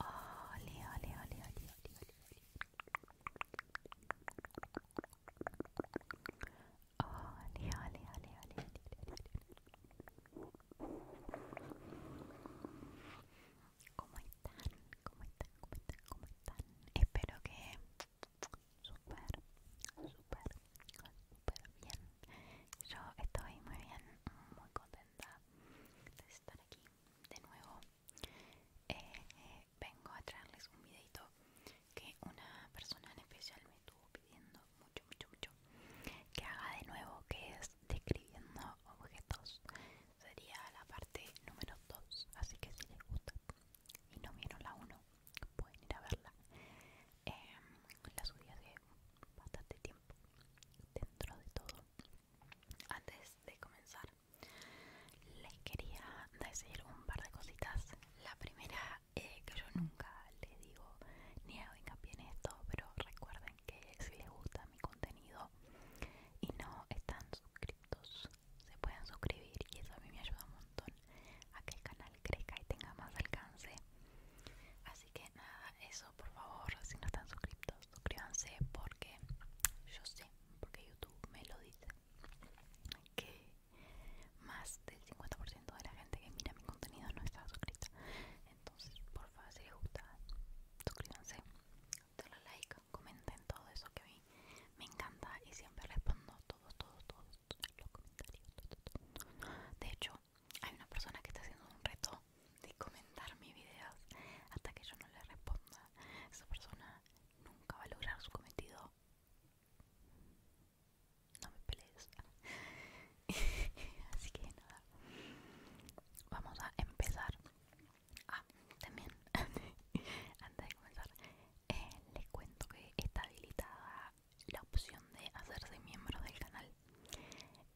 Ole, ole, ole, ole, ole, ole. Ole, ole, ole, ole, ole, ¿Cómo están? ¿Cómo están? ¿Cómo están? ¿Cómo están? Espero que súper, súper, súper bien. Yo estoy muy bien, muy contenta de estar aquí de nuevo eh, vengo a traerles un videito que una persona en especial me estuvo pidiendo mucho mucho mucho que haga de nuevo que es describiendo objetos sería la parte número 2 así que si les gusta y no vieron la 1 pueden ir a verla em, la subí hace bastante tiempo dentro de todo antes de comenzar les quería decir un par de cositas la primera eh, que yo nunca les digo ni hago hincapié en esto pero recuerden que si les gusta mi contenido y no están suscritos se pueden suscribir y eso a mí me ayuda un montón a que el canal crezca y tenga más alcance Así que nada, eso por favor, si no están suscritos, suscríbanse porque yo sé, porque YouTube me lo dice, que más del 50% de la gente que mira mi contenido no está suscrita. Entonces, por favor, si les gusta, suscríbanse, denle like, comenten todo eso que a mí me encanta y siempre respondo todos, todos, todos los comentarios. De hecho, hay una persona que está haciendo un reto de comentar mis videos hasta que yo no le responda. Esa persona nunca va a lograr su cometido. No me pelees. Así que nada. Vamos a empezar. Ah, también. Antes de comenzar, eh, les cuento que está habilitada la opción de hacerse miembro del canal.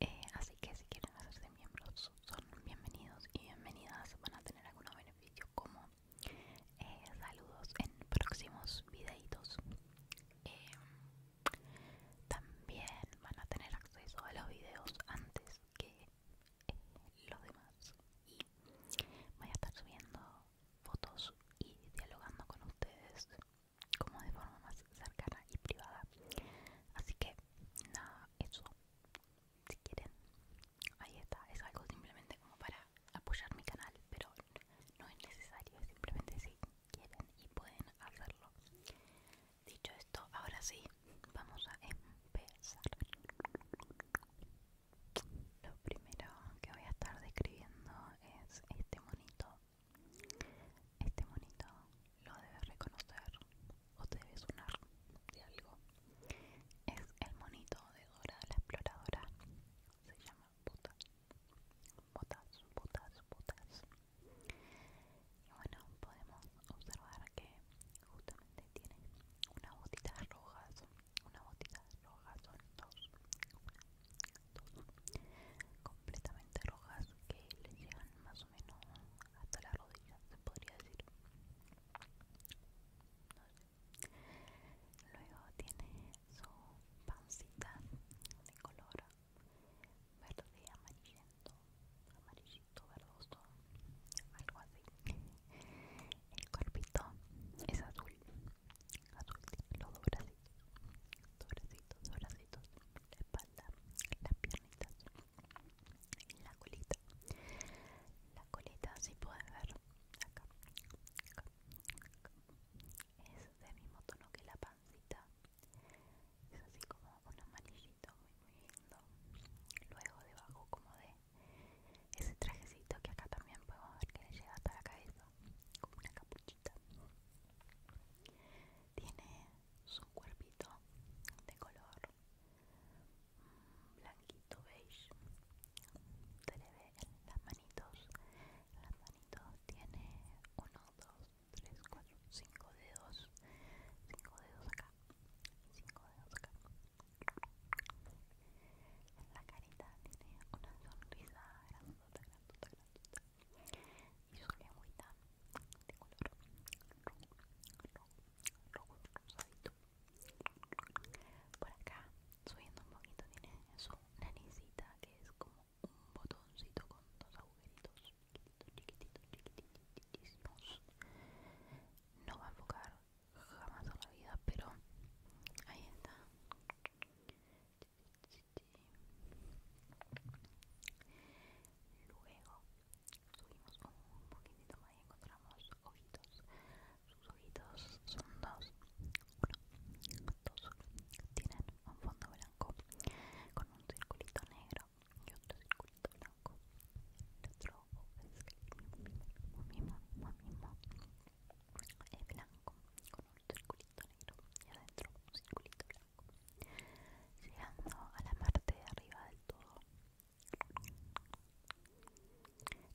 Eh, así que si quieren hacerse miembros son bienvenidos y bienvenidas van a tener algunos beneficios como eh, saludos en próximos videitos eh, también van a tener acceso a los videos antes que los demás y voy a estar subiendo fotos y dialogando con ustedes como de forma más cercana y privada así que nada eso si quieren ahí está es algo simplemente como para apoyar mi canal pero no es necesario simplemente si quieren y pueden hacerlo dicho esto ahora sí vamos a empezar lo primero que voy a estar describiendo es este monito este monito lo debes reconocer o te debe sonar de algo. Es el monito de Dora la exploradora. Se llama Botas. Botas, botas, botas. Y bueno, podemos observar que justamente tiene unas botitas rojas. Unas botitas rojas son dos. dos completamente rojas que le llegan más o menos hasta la rodilla, se podría decir. Luego tiene su pancita de color verde amarillento, amarillito verdoso, algo así. El corpito es azul, azul, los dos bracitos, dos la espalda, las piernitas, la colita, la colita si pueden ver acá, es del mismo tono que la pancita, es así como un amarillito muy muy lindo, luego debajo como de ese trajecito que acá también podemos ver que le llega hasta la cabeza, como una capuchita tiene su cuerpito de color mm, blanquito beige se le ve en las manitos las manitos tiene 1, 2, 3, 4, 5 dedos 5 dedos acá 5 dedos acá la carita tiene una sonrisa grandota, grandota, grandota y muy tan de color rojo, rojo, rojo, rosadito. Por acá, subiendo un poquito, tiene su naricita que es como un botoncito con dos agujeritos chiquititos, chiquititos, chiquititísimos. No va a enfocar jamás en la vida, pero ahí está. Luego subimos un poquitito más y encontramos ojitos. Sus ojitos son dos. Uno, dos. Tienen un fondo blanco con un circulito negro y otro circulito blanco. El otro es el blanco con un circulito negro y adentro un circulito blanco llegando a la parte de arriba del todo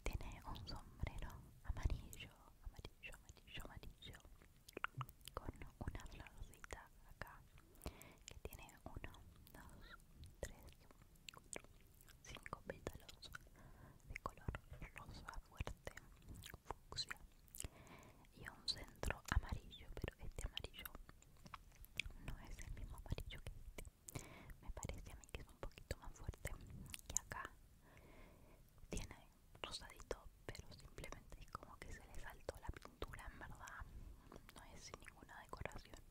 tiene un sombrero amarillo amarillo amarillo amarillo con una florcita acá que tiene 1, 2, 3, 4, cinco pétalos de color rosa fuerte fucsia y un centro amarillo, pero este amarillo no es el mismo amarillo que este. Me parece a mí que es un poquito más fuerte que acá. Tiene rosadito, pero simplemente es como que se le saltó la pintura, en verdad. No es ninguna decoración.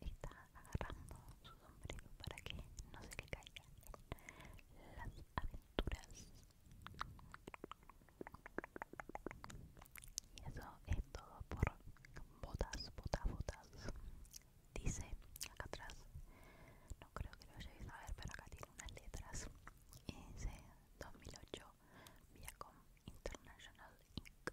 Él está agarrando su sombrero para que no se le caigan las aventuras y eso es todo por botas, botas, botas. Dice acá atrás, no creo que lo llegues a ver, pero acá tiene unas letras. Y dice 2008 Viacom International Inc.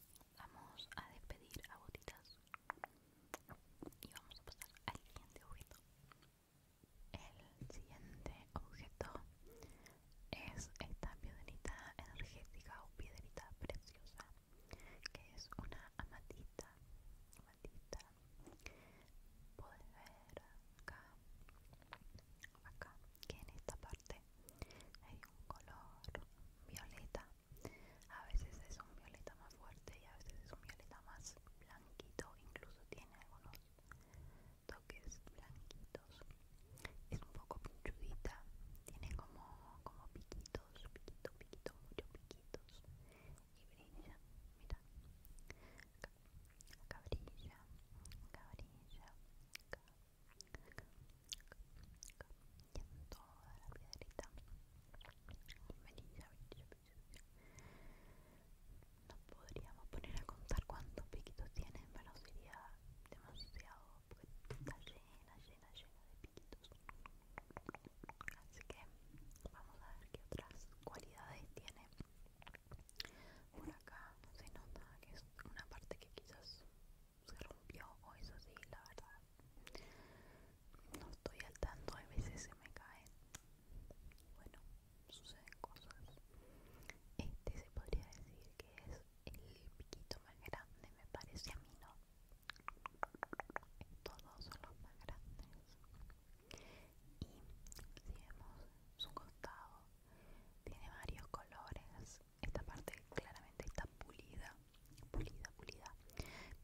vamos a despedir a botitas y vamos a pasar al siguiente objeto. El siguiente objeto es esta piedrita energética o piedrita preciosa, que es una amatita. Amatita, puedes ver acá, acá, que en esta parte hay un color violeta a veces es un violeta más fuerte y a veces es un violeta más blanquito, incluso tiene algunos toques blanquitos. Es un poco pinchudita, tiene como, como piquitos, piquito, piquito, muchos piquitos. Y brilla, mira. Acá, acá brilla, y en toda la piedrita no podríamos poner a contar cuántos piquitos tiene, pero sería demasiado, porque está llena, llena, llena de piquitos. Así que vamos a ver qué otras cualidades tiene. Por acá se nota que es una parte que quizás se rompió o eso sí, la verdad. No estoy al tanto, a veces se me caen. Bueno, suceden cosas. Este se podría decir que es el piquito más grande, me parece a mí, ¿no? todos son los más grandes. Y si vemos su costado, tiene varios colores. Esta parte claramente está pulida pulida, pulida.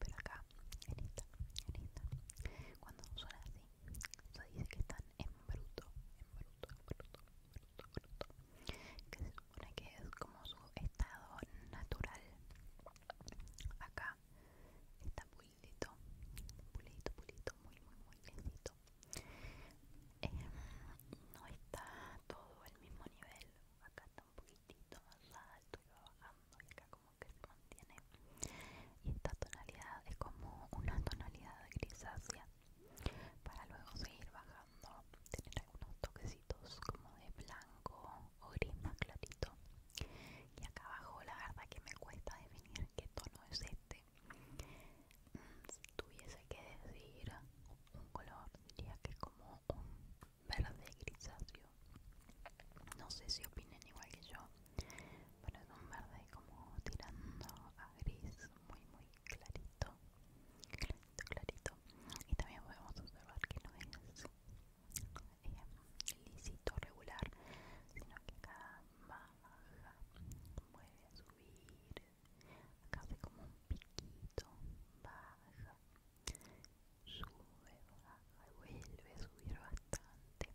Pero acá, en esta, en cuando suena así, se dice que están en bruto, en bruto, en bruto, en bruto, bruto. Que se supone que es como su estado natural. Acá está pulidito, pulidito, pulidito, muy, muy, muy lentito. Eh, no está todo al mismo nivel. Acá está un poquito y y esta tonalidad es como una tonalidad grisácea para luego seguir bajando tener algunos toquecitos como de blanco o gris más clarito y acá abajo la verdad que me cuesta definir qué tono es este mm, si tuviese que decir un color diría que como un verde grisáceo. No sé si opinen igual que yo, pero es un verde como tirando a gris, muy, muy clarito. Clarito, clarito. Y también podemos observar que no es eh, lisito, regular, sino que acá baja, puede subir. Acá hace como un piquito, baja, sube, baja, vuelve a subir bastante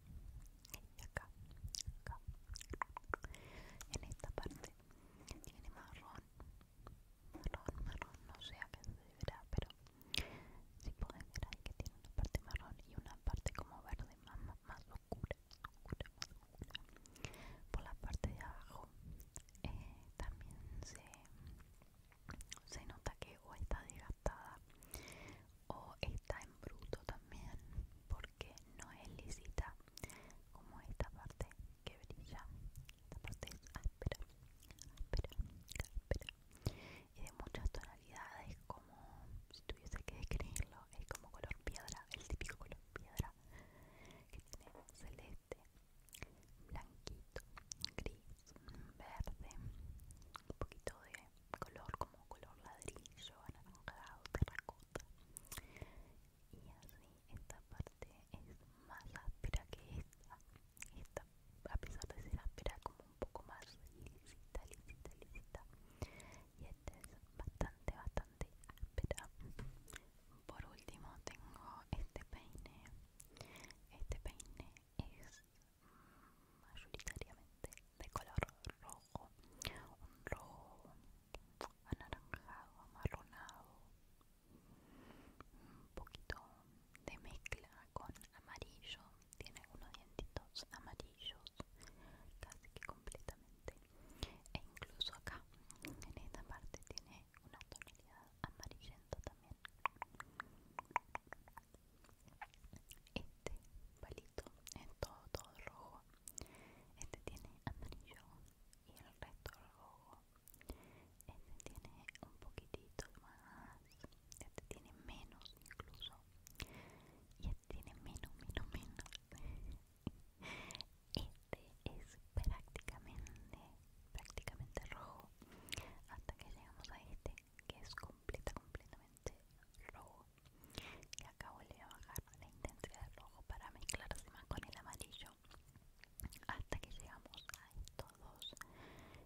acá, en esta parte tiene marrón marrón, marrón, no sé a qué se verá pero si pueden ver hay que tiene una parte marrón y una parte como verde más, más oscura por la parte de abajo eh, también se se nota que o está desgastada o está en bruto también porque no es lisita como esta parte que brilla esta parte es áspera áspera áspera y de muchas tonalidades como si tuviese que describirlo es como color piedra el típico color piedra que tiene celeste blanquito, gris, verde, un poquito de color como color ladrillo, anaranjado, terracota. Y así esta parte es más áspera que esta. Esta, a pesar de ser áspera, como un poco más lisita, lisita, lisita. Y esta es bastante, bastante áspera. Por último tengo este peine este peine es mayoritariamente de color rojo, un rojo anaranjado, amarronado, un poquito de mezcla con amarillo, tiene algunos dientitos amarillos casi que completamente e incluso acá en esta parte tiene una tonalidad amarillento también este palito es todo todo rojo este tiene amarillo y el resto rojo este tiene un poquitito más este tiene menos incluso y este tiene menos menos menos este este es prácticamente, prácticamente rojo hasta que llegamos a este que es completa, completamente rojo y acá volví a bajar la intensidad de rojo para mezclarse más con el amarillo hasta que llegamos a estos dos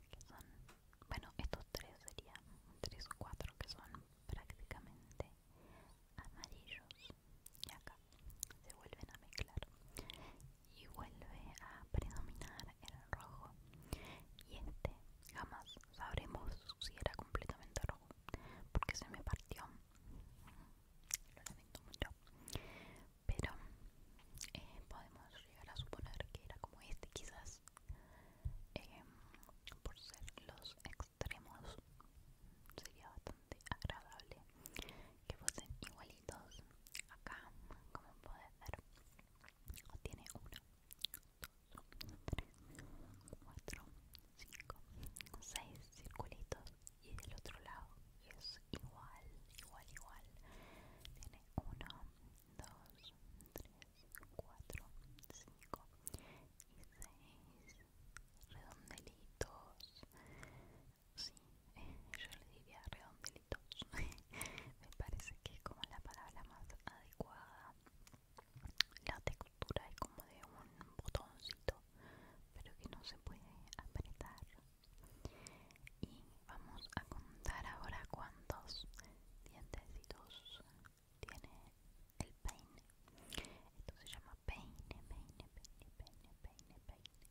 que son, bueno estos tres serían tres o cuatro que son prácticamente amarillos y acá se vuelven a mezclar y vuelve a predominar el rojo y este jamás sabremos si era completamente rojo porque se me partió lo lamento mucho pero eh, podemos llegar a suponer que era como este quizás eh, por ser los extremos sería bastante bastante agradable que fuesen igualitos acá como puede ver tiene 1 2 3 4 5 6 circulitos y del otro lado es igual igual igual tiene 1 2 3 4 5 y 6 redondelitos Sí, eh, yo le diría redondelitos. Me parece que es como la palabra más adecuada. La textura es como de un botoncito, pero que no se puede apretar. Y vamos a contar ahora cuántos dientecitos tiene el peine. Esto se llama peine, peine, peine, peine, peine, peine.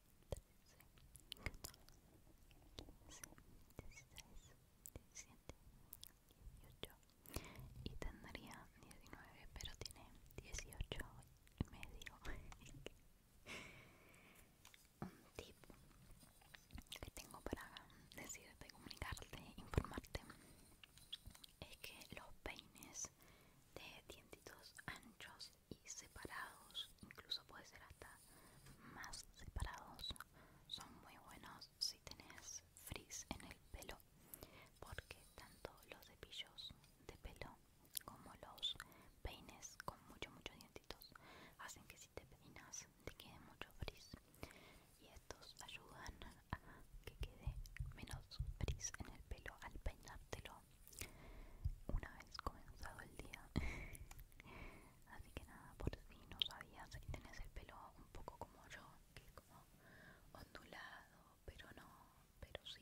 13, 14, 15, 16, 17, 18 y tendría 19 pero tiene 18 y medio. Un tipo que tengo para decirte, comunicarte, informarte es que los peines de dientes anchos y separados, incluso puede ser hasta más separados. Son muy buenos si tenés frizz en el pelo, porque tanto los cepillos de pelo como los peines con muchos muchos dientitos hacen que si te peinas te quede mucho frizz y estos ayudan a que quede menos frizz en el pelo al peinártelo una vez comenzado el día Así que nada, por si no sabías si tenés el pelo un poco como yo, que es como ondulado, pero no, pero sí,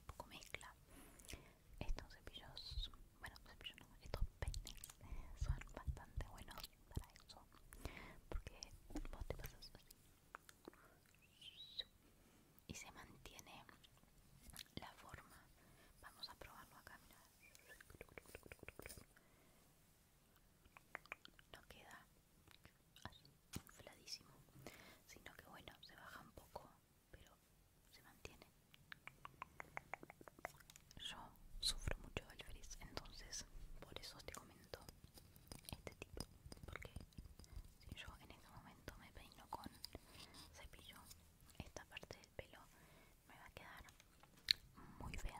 un poco mezcla. Estos cepillos, bueno, cepillos estos peines son bastante buenos para eso, porque vos te pasas así y se mantiene la forma. Vamos a probarlo acá, mira no queda así infladísimo sino que bueno se baja un poco pero se mantiene yo sufro mucho de frizz entonces por eso te comento este tipo porque si yo en este momento me peino con cepillo esta parte del pelo me va a quedar muy bien.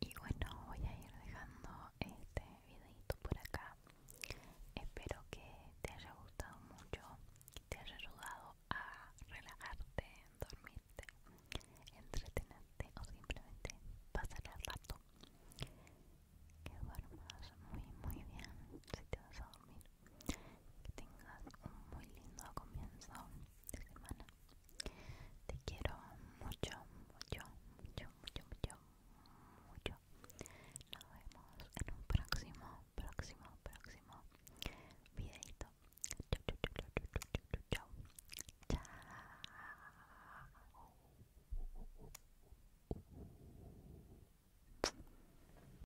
Y bueno, voy a ir dejando este videito por acá. Espero que te haya gustado mucho, que te haya ayudado a relajarte, dormirte, entretenerte o simplemente pasar el rato. Que duermas muy muy bien si te vas a dormir. Que tengas un muy lindo comienzo de semana. Te quiero mucho, mucho, mucho, mucho, mucho, mucho. Nos vemos en un próximo, próximo, próximo videito. Chao.